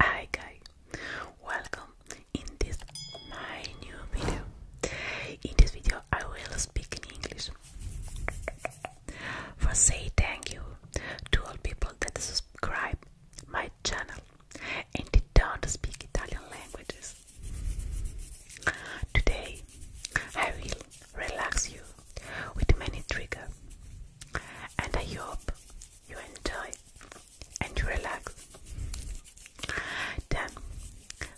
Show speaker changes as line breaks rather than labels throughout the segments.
Hi guys, welcome in this my new video. In this video I will speak in English. For say thank you to all people that subscribe my channel and they don't speak Italian languages. Today, I will relax you with many triggers, and I hope you enjoy and relax. Then,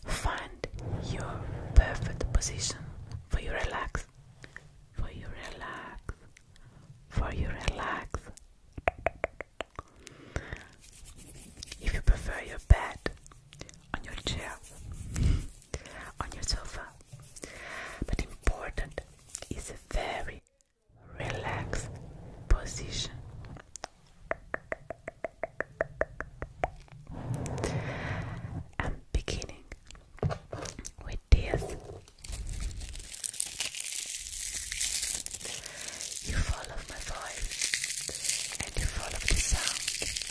find your perfect position for you relax, for you relax, for you relax. If you prefer your bed on your chair, on your sofa. But important is a very relaxed position. I'm beginning with this. You follow my voice and you follow the sound.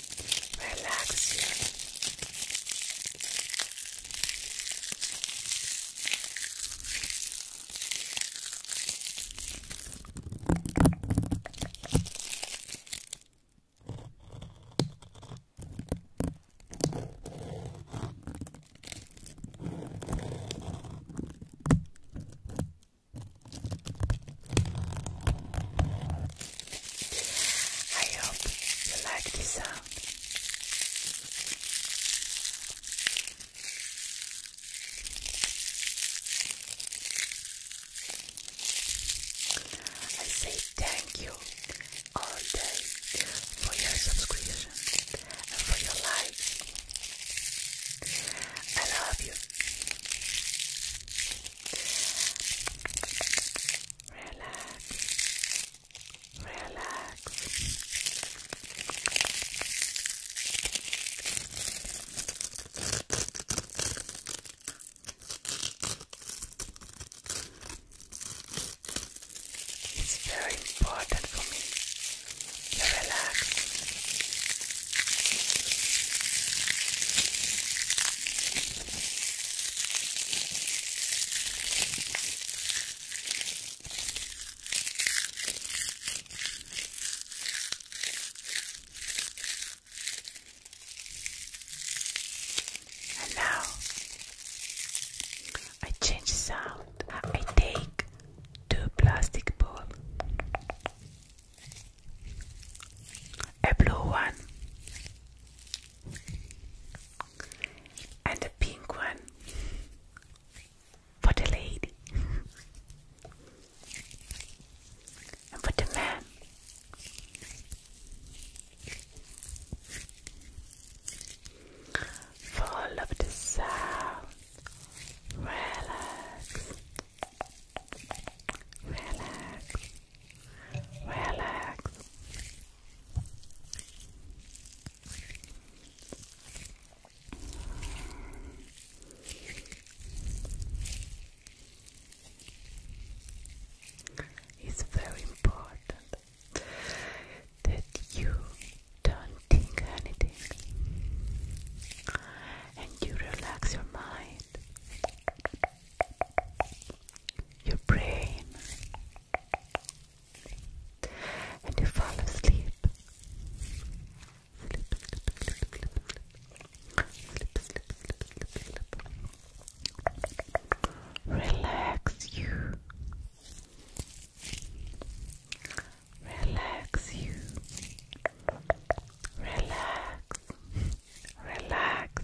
relax you. I hope you like the sound. I say thank you all day for your subscription and for your like. I love you relax, relax. It's very important for me to relax. And now I change sound. I take two plastic balls, a blue one and a pink one for the lady and for the man. Full of the sound. Relax. Relax. Relax. It's very important that you don't think anything and you relax your mind your brain, and you fall asleep. Sleep, sleep, sleep, sleep, sleep, sleep, sleep, sleep, sleep. Relax you. Relax you. Relax. Relax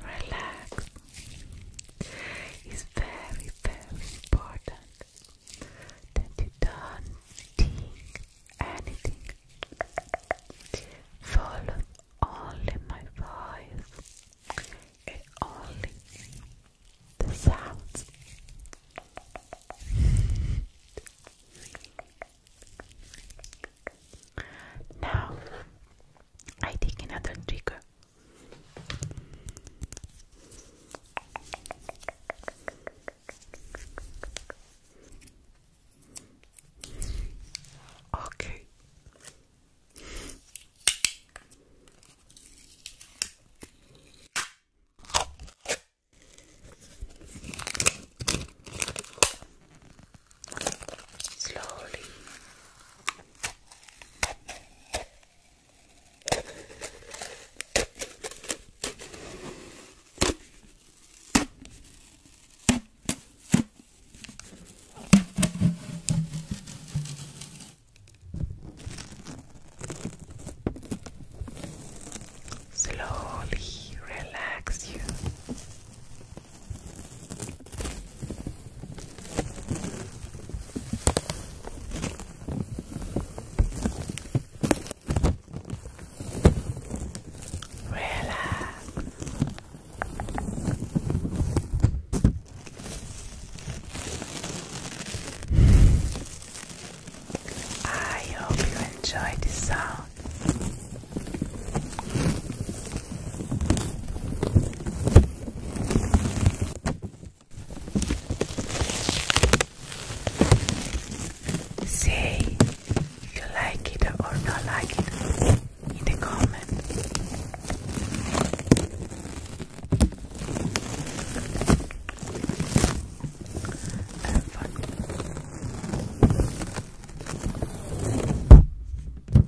relax is very, very important that you don't think anything. Follow only my voice only the sounds. Now I take another trigger. Okay slowly. Slowly relax you Relax. I hope you enjoyed the song. Say if you like it or not like it in the comment. And fun.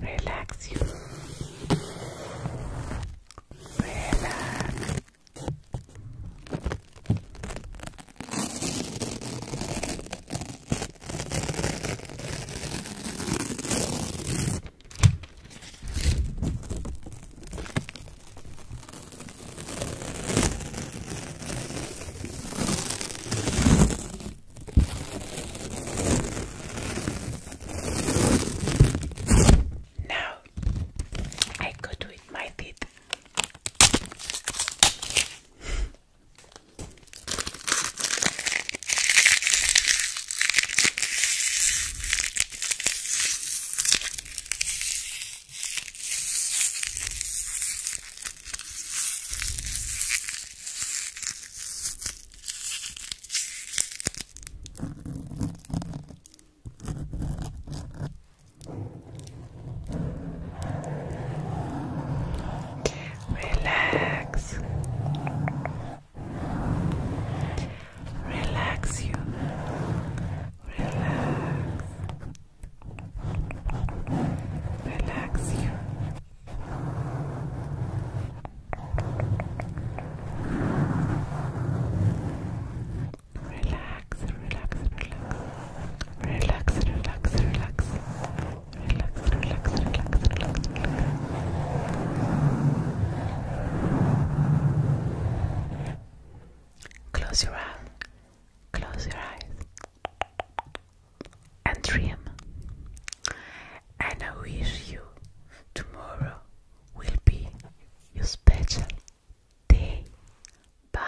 Relax you. Relax. Now I go do it my teeth. Relax. Relax you. Relax. Relax you. Relax, relax, relax. Relax, relax, relax. Relax, relax, relax, relax, Close your eyes. Close your eyes. And dream. And I wish you tomorrow will be your special day. Bye.